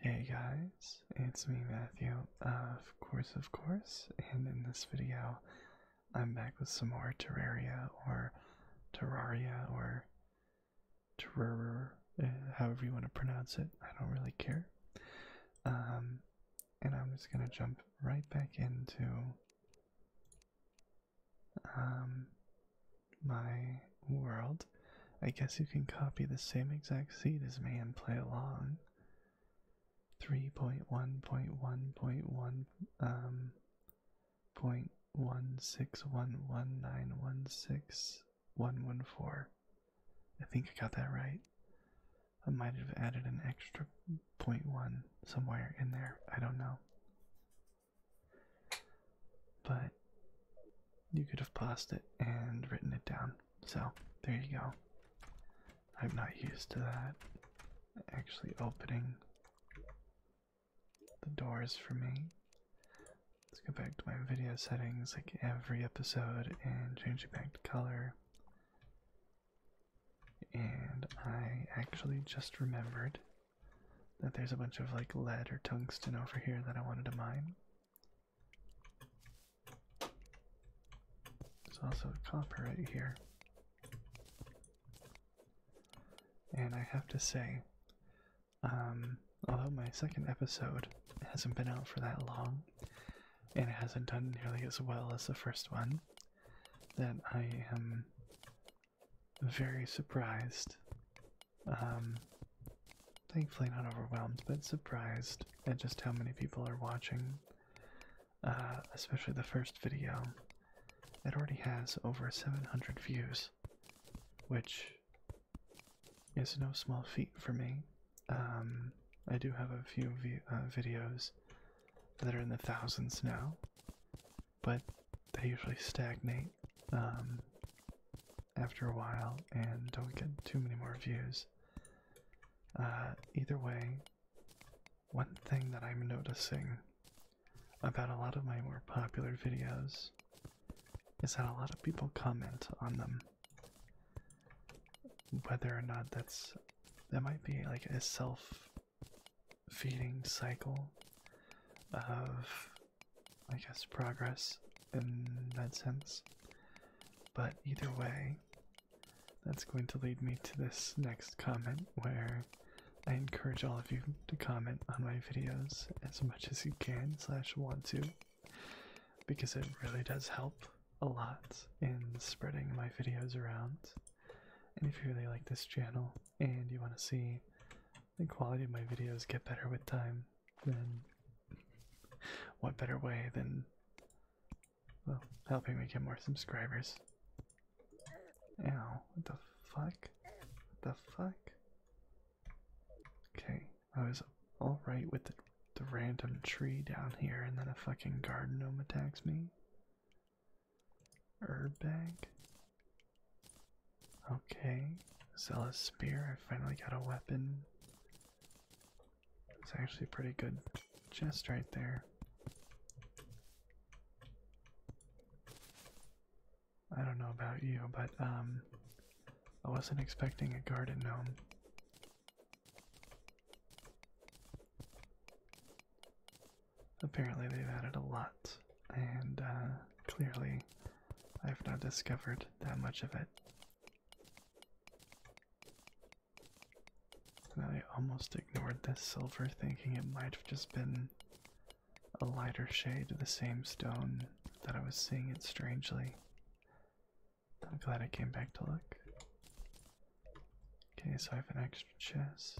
Hey guys, it's me Matthew, uh, of course of course, and in this video I'm back with some more Terraria or Terraria or Terror, uh, however you want to pronounce it, I don't really care. Um, and I'm just gonna jump right back into um, my world, I guess you can copy the same exact seed as me and play along. 3.1.1.1 um point one six one one nine one six one one four. I think I got that right. I might have added an extra point one somewhere in there. I don't know. But you could have paused it and written it down. So there you go. I'm not used to that actually opening the doors for me. Let's go back to my video settings like every episode and change it back to color. And I actually just remembered that there's a bunch of like lead or tungsten over here that I wanted to mine. There's also a copper right here. And I have to say, um, although my second episode hasn't been out for that long, and it hasn't done nearly as well as the first one, that I am very surprised um, thankfully, not overwhelmed, but surprised at just how many people are watching, uh, especially the first video. It already has over 700 views, which is no small feat for me. Um, I do have a few vi uh, videos that are in the thousands now, but they usually stagnate. Um, after a while and don't get too many more views. Uh, either way, one thing that I'm noticing about a lot of my more popular videos is that a lot of people comment on them. Whether or not that's that might be like a self feeding cycle of I guess progress in that sense. But either way, that's going to lead me to this next comment where I encourage all of you to comment on my videos as much as you can slash want to because it really does help a lot in spreading my videos around. And if you really like this channel and you want to see the quality of my videos get better with time, then what better way than well, helping me get more subscribers. Ow, what the fuck? What the fuck? Okay, I was alright with the, the random tree down here, and then a fucking garden gnome attacks me. Herb bag. Okay, zealous spear. I finally got a weapon. It's actually a pretty good chest right there. I don't know about you, but um I wasn't expecting a garden gnome. Apparently they've added a lot, and uh, clearly I've not discovered that much of it. And I almost ignored this silver, thinking it might have just been a lighter shade of the same stone that I was seeing it strangely. I'm glad I came back to look. Okay, so I have an extra chest.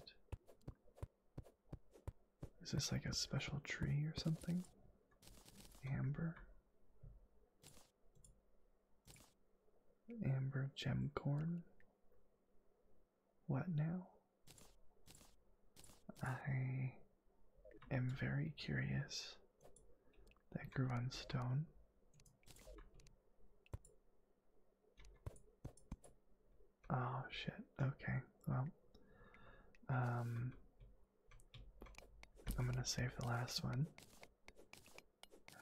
Is this like a special tree or something? Amber? Amber Gemcorn. What now? I am very curious. That grew on stone. Oh shit. Okay. Well, um, I'm gonna save the last one.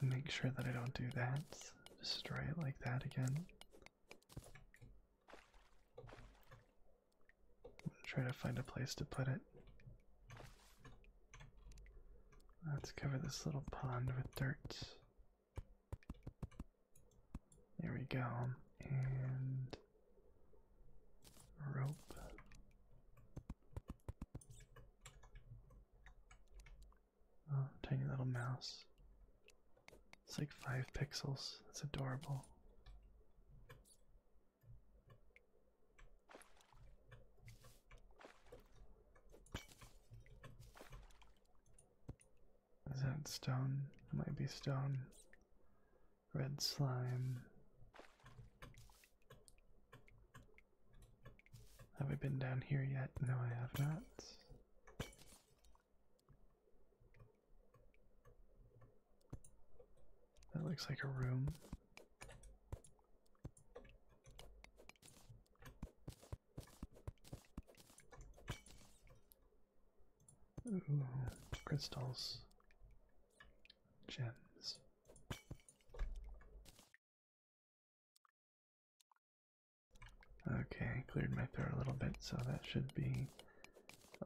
And make sure that I don't do that. Destroy it like that again. I'm gonna try to find a place to put it. Let's cover this little pond with dirt. There we go. And rope. Oh, tiny little mouse. It's like five pixels. It's adorable. Is that stone? might be stone. Red slime. Have I been down here yet? No, I have not. That looks like a room. Ooh, crystals gems. Okay, cleared my throat a little bit, so that should be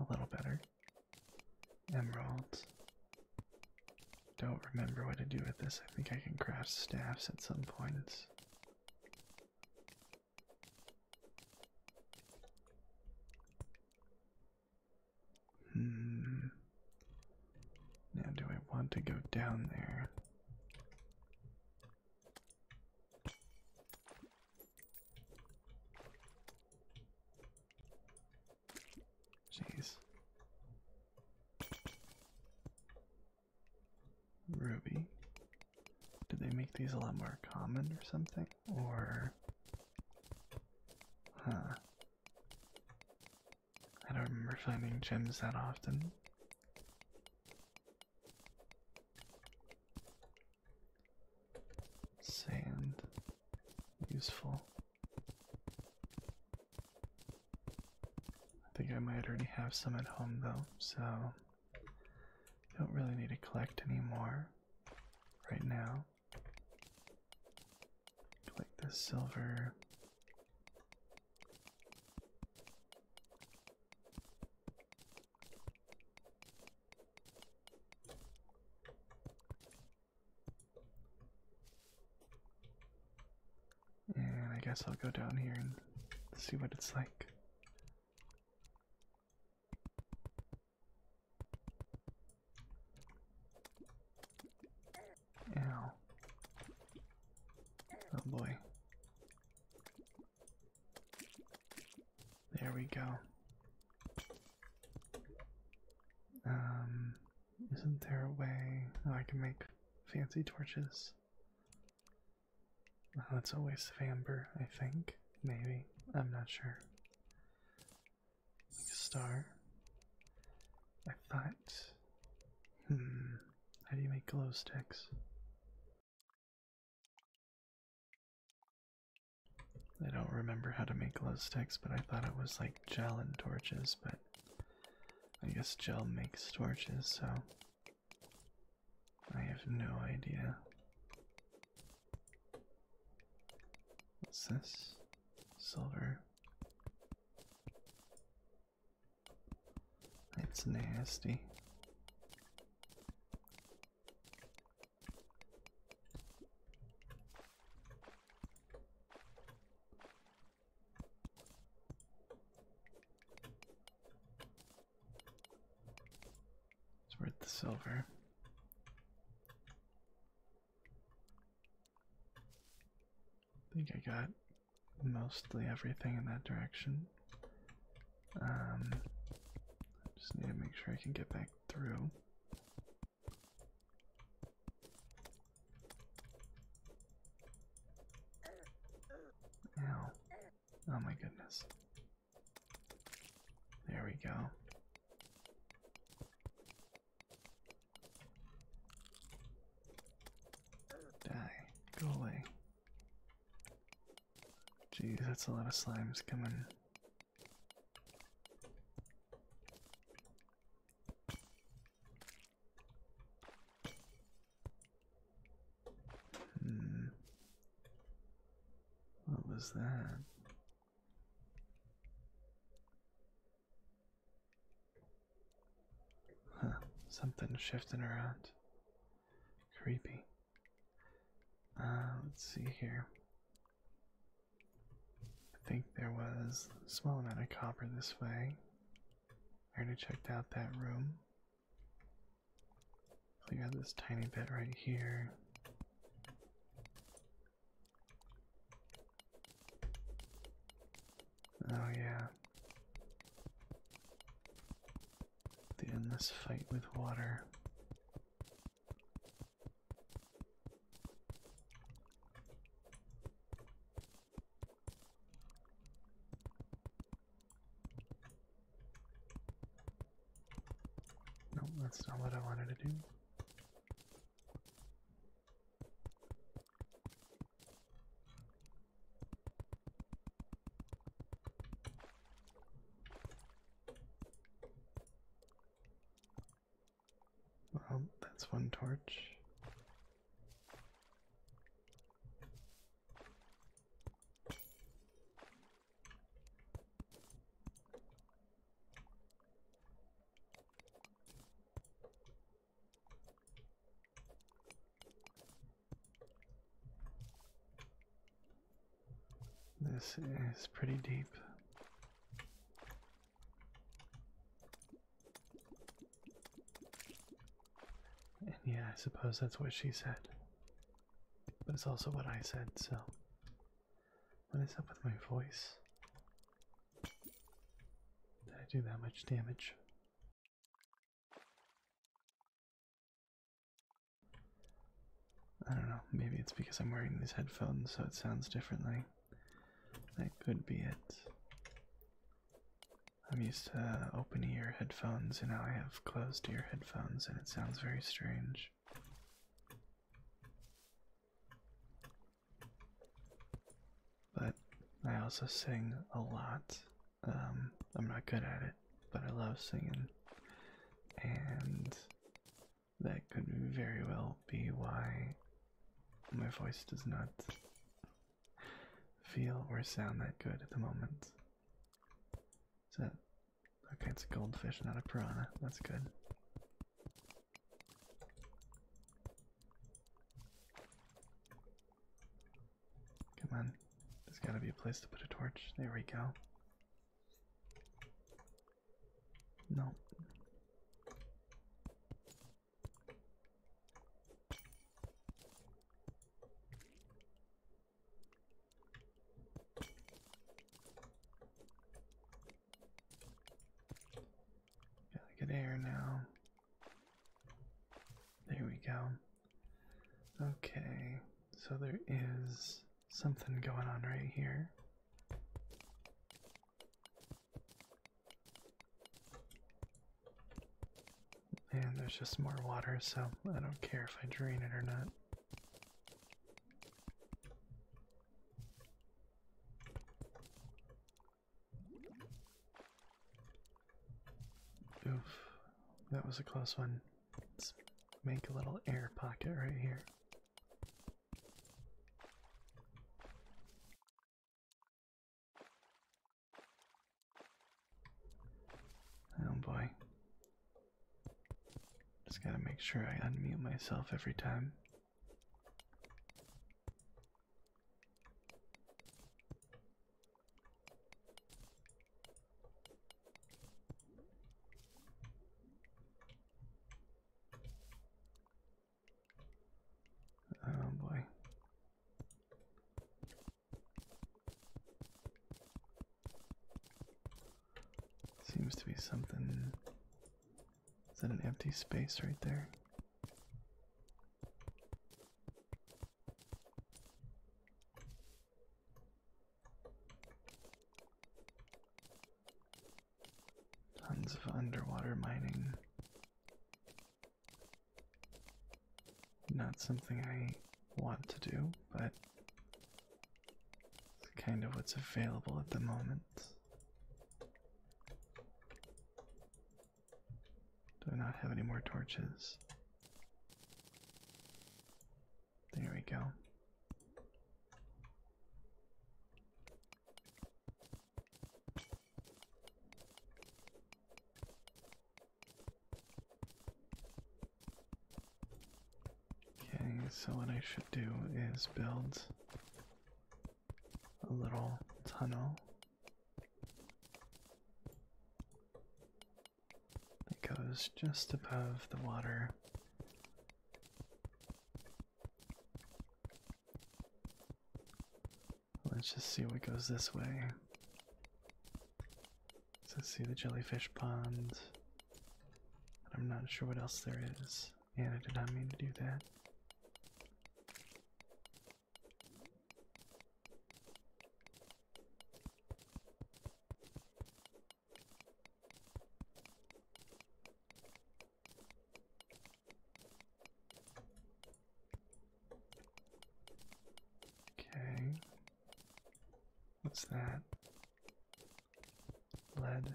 a little better. Emeralds. Don't remember what to do with this. I think I can craft staffs at some points. Hmm. Now, do I want to go down there? Jeez. Ruby. Did they make these a lot more common or something? Or. Huh. I don't remember finding gems that often. Sand. Useful. I think I might already have some at home though, so don't really need to collect anymore right now. Do like this silver. And I guess I'll go down here and see what it's like. Ow. Oh boy. There we go. Um, isn't there a way oh, I can make fancy torches? that's a waste of amber, I think. Maybe. I'm not sure star. I thought, hmm, how do you make glow sticks? I don't remember how to make glow sticks, but I thought it was like gel and torches, but I guess gel makes torches, so I have no idea. What's this? Silver. It's nasty. It's worth the silver. I think I got mostly everything in that direction. Um, just need to make sure I can get back through. Ow. Oh my goodness. There we go. Die. Go away. Jeez, that's a lot of slimes coming. Hmm. What was that? Huh, something shifting around. Creepy. Uh, let's see here. I think there was a small amount of copper this way. I already checked out that room. Clear this tiny bit right here. Oh, yeah. The endless fight with water. Nope, that's not what I wanted to do. Well, that's one torch. This is pretty deep. yeah, I suppose that's what she said. But it's also what I said, so. What is up with my voice? Did I do that much damage? I don't know, maybe it's because I'm wearing these headphones so it sounds differently. That could be it. I'm used to open ear headphones and now I have closed ear headphones and it sounds very strange. But I also sing a lot. Um, I'm not good at it, but I love singing. And that could very well be why my voice does not feel or sound that good at the moment. Is okay? It's a goldfish, not a piranha. That's good. Come on. There's gotta be a place to put a torch. There we go. No. Gotta get air now. There we go. Okay, so there is something going on right here. And there's just more water, so I don't care if I drain it or not. Oof, that was a close one. Let's make a little air pocket right here. Oh boy. Just gotta make sure I unmute myself every time. Oh boy. Seems to be something. Is that an empty space right there? Tons of underwater mining. Not something I want to do, but it's kind of what's available at the moment. Do I not have any more torches? There we go. Okay, so what I should do is build a little tunnel it goes just above the water. Let's just see what goes this way. Let's see the jellyfish pond. I'm not sure what else there is. And I did not mean to do that. Okay. What's that? Lead.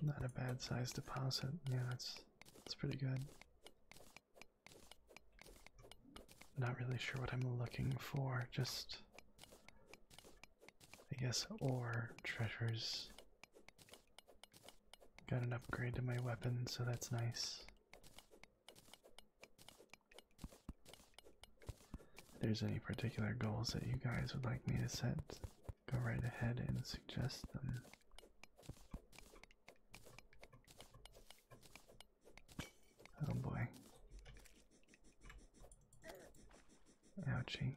Not a bad size deposit. Yeah, that's that's pretty good. Not really sure what I'm looking for, just I guess ore treasures. Got an upgrade to my weapon, so that's nice. If there's any particular goals that you guys would like me to set, Go right ahead and suggest them. Oh boy. Ouchie.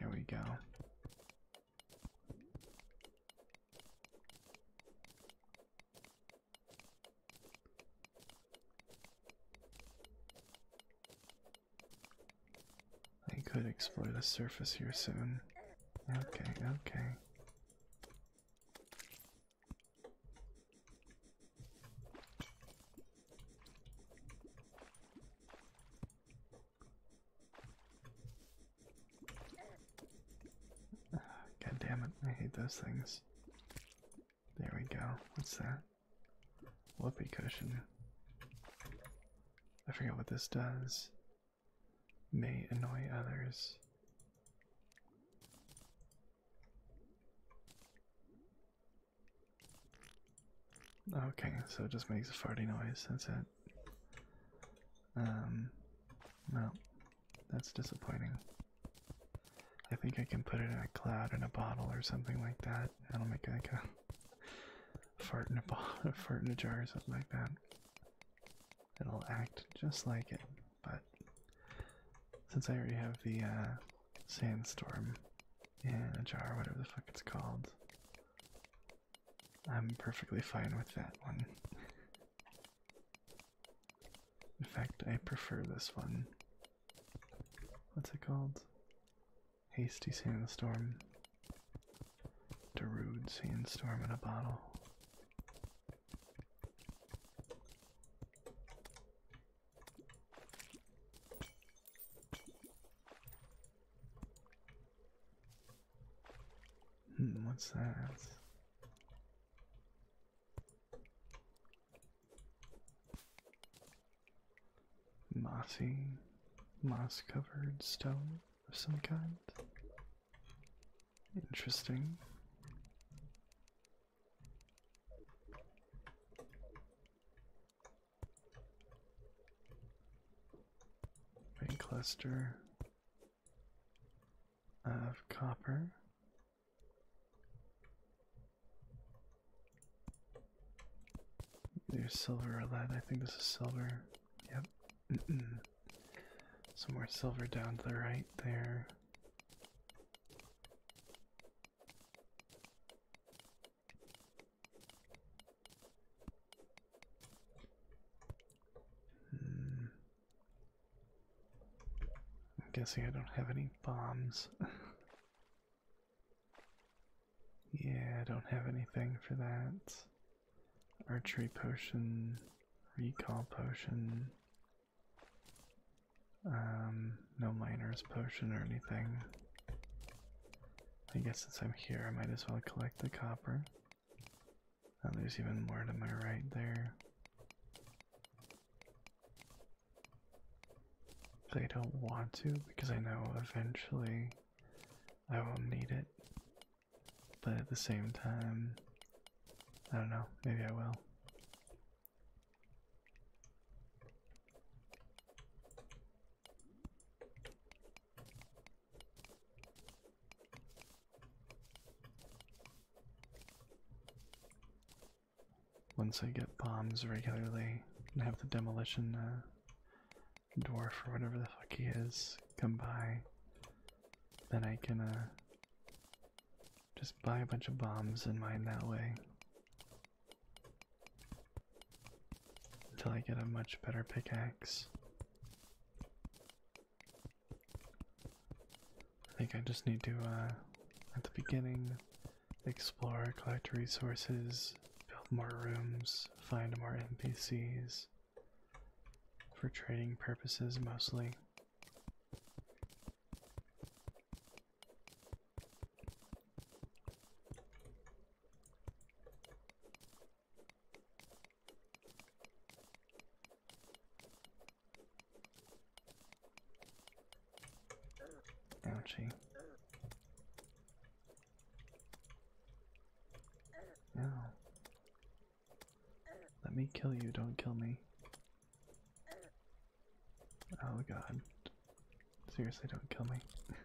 There we go. I could explore the surface here soon. Okay, okay. God damn it, I hate those things. There we go. What's that? Whoopee cushion. I forget what this does. May annoy others. Okay, so it just makes a farting noise, that's it. Um, well, that's disappointing. I think I can put it in a cloud in a bottle or something like that. That'll make like a fart in a bottle, fart in a jar or something like that. It'll act just like it, but since I already have the uh, sandstorm in a jar, whatever the fuck it's called, I'm perfectly fine with that one. In fact, I prefer this one. What's it called? Hasty sandstorm. Derude sandstorm in a bottle. Hmm, what's that? Mossy, moss covered stone of some kind. Interesting. Rain cluster of copper. There's silver or lead. I think this is silver. Yep. Some more silver down to the right there. Mm. I'm guessing I don't have any bombs. yeah, I don't have anything for that. Archery potion, recall potion. Um, no miner's potion or anything. I guess since I'm here, I might as well collect the copper. And oh, there's even more to my right there. But I don't want to because I know eventually I will need it. But at the same time, I don't know, maybe I will. Once I get bombs regularly and have the demolition uh, dwarf or whatever the fuck he is come by, then I can uh, just buy a bunch of bombs and mine that way. Until I get a much better pickaxe. I think I just need to, uh, at the beginning, explore, collect resources, build more rooms, find more NPCs for trading purposes mostly. Ouchie. No. Let me kill you, don't kill me. Oh god. Seriously, don't kill me.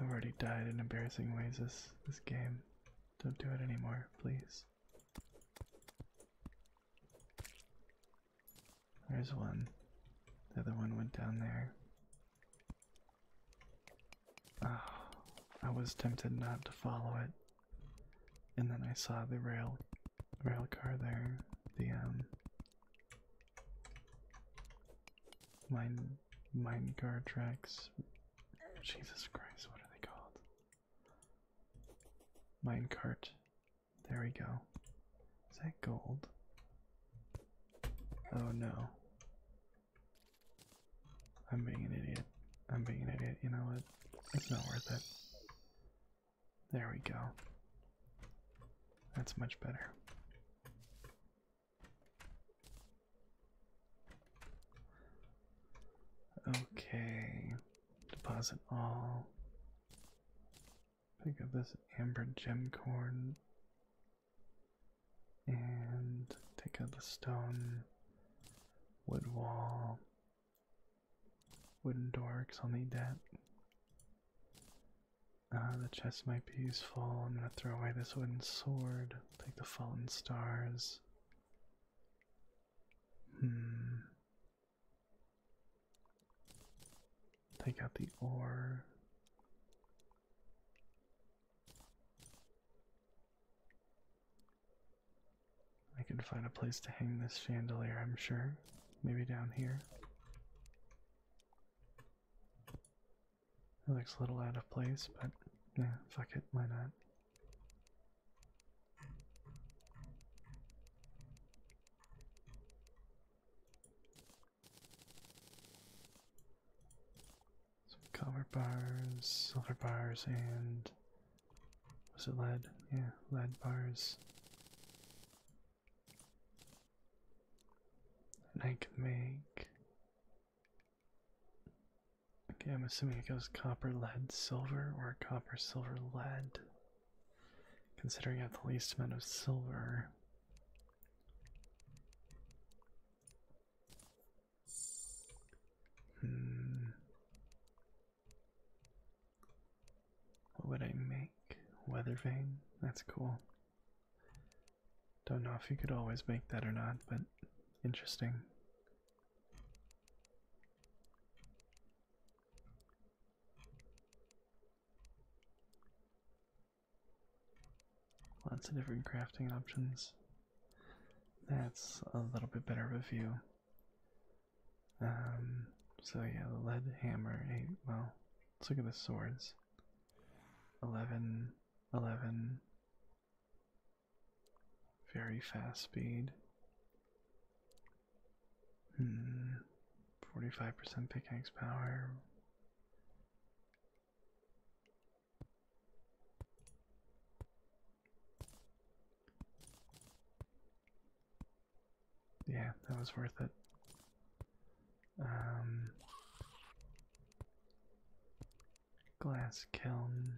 I've already died in embarrassing ways this this game. Don't do it anymore, please. There's one. The other one went down there. Oh, I was tempted not to follow it. And then I saw the rail rail car there. The um mine mine car tracks. Jesus Christ, what are they called? Minecart. There we go. Is that gold? Oh no. I'm being an idiot. I'm being an idiot. You know what? It's not worth it. There we go. That's much better. Okay, deposit all. Pick up this amber gem corn and take out the stone, wood wall, wooden door, I'll need that. the chest might be useful. I'm gonna throw away this wooden sword, take the fallen stars. Hmm. Take out the ore. I can find a place to hang this chandelier, I'm sure. Maybe down here. It looks a little out of place, but yeah, fuck it, why not? Some copper bars, silver bars, and was it lead? Yeah, lead bars. And I can make Okay, I'm assuming it goes copper, lead, silver, or copper, silver, lead. Considering I have the least amount of silver. Hmm. What would I make? Weather vane? That's cool. Don't know if you could always make that or not, but interesting. Lots of different crafting options. That's a little bit better of a view. Um, so yeah, the lead hammer, eight, well, let's look at the swords. 11, 11, very fast speed. Hmm. 45% pickaxe power. Yeah, that was worth it. Um, glass kiln.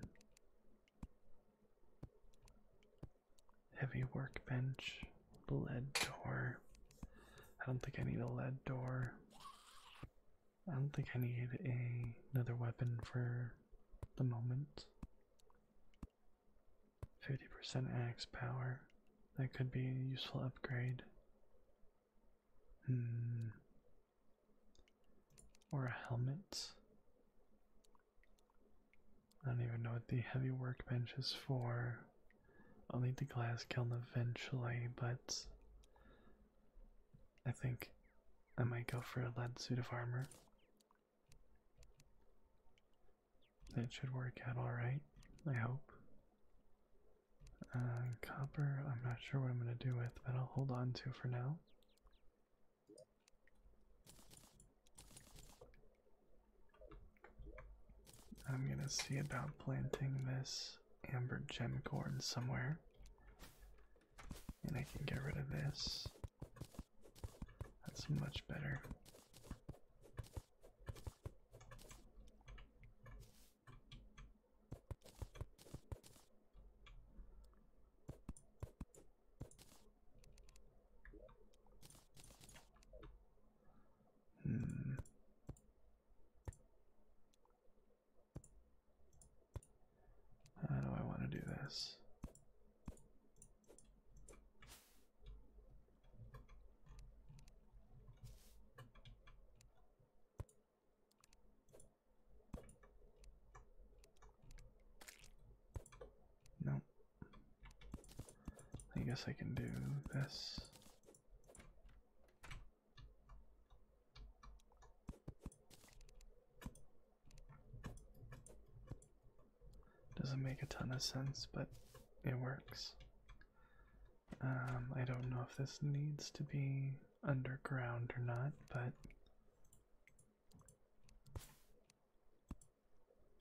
Heavy workbench, lead door. I don't think I need a lead door. I don't think I need another weapon for the moment. 50% axe power. That could be a useful upgrade. Hmm. Or a helmet. I don't even know what the heavy workbench is for. I'll need the glass kiln eventually, but I think I might go for a lead suit of armor. It should work out alright, I hope. Uh, copper, I'm not sure what I'm going to do with, but I'll hold on to for now. I'm gonna see about planting this amber gemcorn somewhere. And I can get rid of this. That's much better. Hmm. How do I want to do this? Nope. I guess I can do this. Doesn't make a ton of sense, but it works. Um, I don't know if this needs to be underground or not, but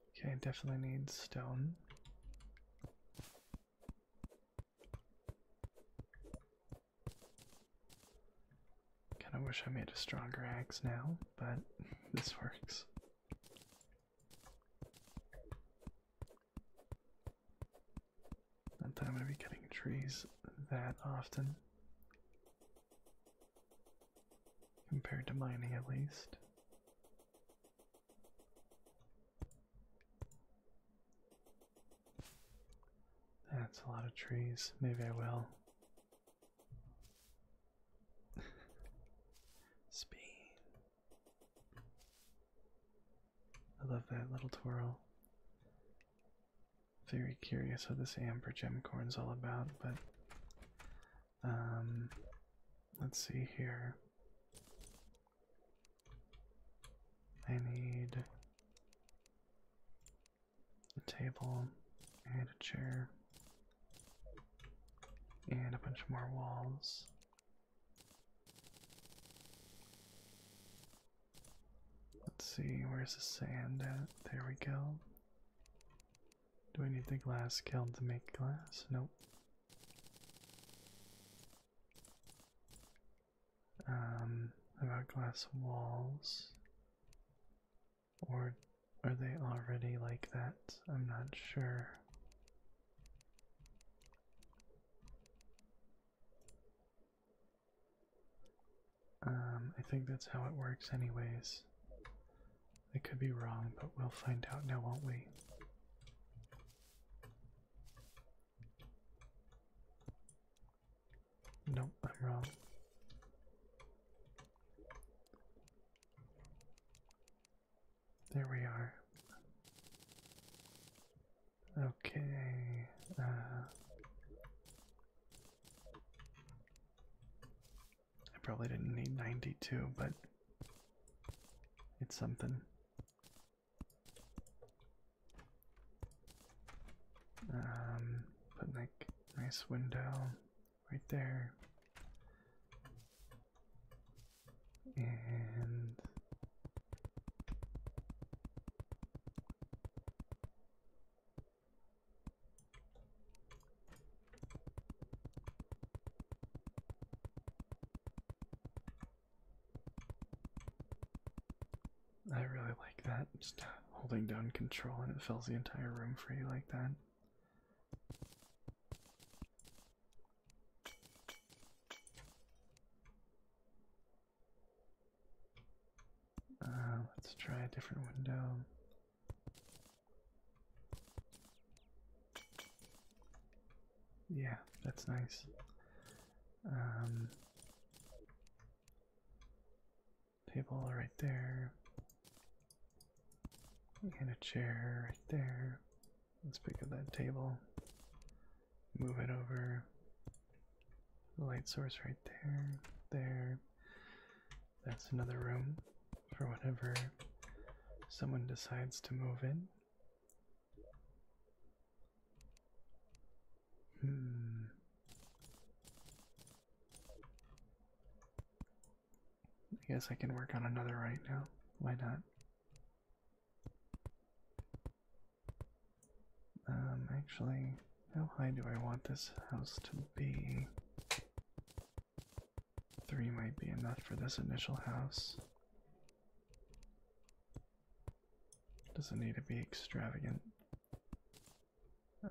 Okay, definitely need stone. Kind of wish I made a stronger axe now, but this works. Not that I'm going to be cutting trees that often. Compared to mining, at least. That's a lot of trees. Maybe I will. Speed. I love that little twirl. Very curious what this amber gemcorn is all about, but um, let's see here. I need a table and a chair and a bunch more walls. Let's see, where's the sand at? There we go. Do I need the glass kiln to make glass? Nope. Um, about glass walls. Or are they already like that? I'm not sure. Um, I think that's how it works, anyways. I could be wrong, but we'll find out now, won't we? Nope, I'm wrong. There we are. Okay. Uh, I probably didn't need 92, but it's something. Um, put like nice window right there. And I really like that. Just holding down control and it fills the entire room for you like that. Uh, let's try a different window. Yeah, that's nice. Um, table right there. And a chair right there. Let's pick up that table. Move it over. Light source right there. There. That's another room for whenever someone decides to move in. Hmm. I guess I can work on another right now. Why not? Um, actually, how high do I want this house to be? Three might be enough for this initial house. Doesn't need to be extravagant.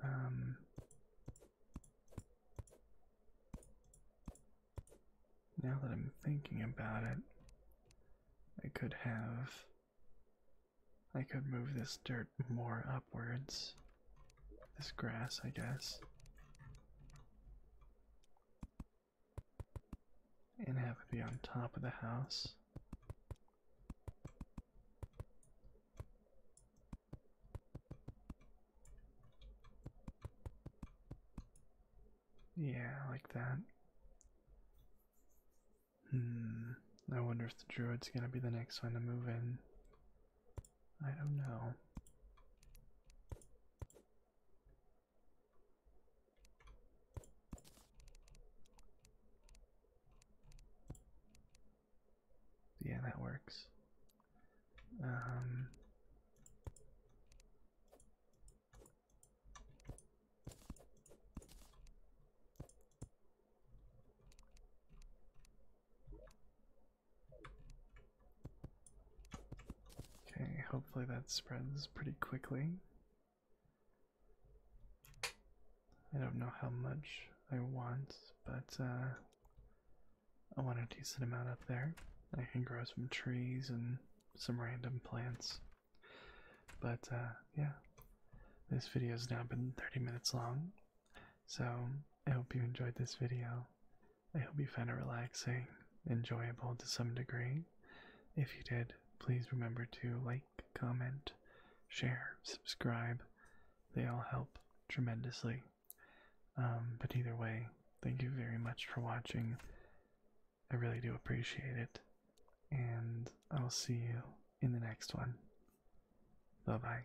Um, now that I'm thinking about it, I could have. I could move this dirt more upwards this grass, I guess, and have it be on top of the house. Yeah, like that. Hmm, I wonder if the druid's gonna be the next one to move in. I don't know. Yeah, that works. Um, Okay, hopefully that spreads pretty quickly. I don't know how much I want, but uh, I want a decent amount up there. I can grow some trees and some random plants. But uh, yeah, this video has now been 30 minutes long, so I hope you enjoyed this video. I hope you found it relaxing, enjoyable to some degree. If you did, please remember to like, comment, share, subscribe. They all help tremendously. Um, but either way, thank you very much for watching. I really do appreciate it. And I'll see you in the next one. Bye bye.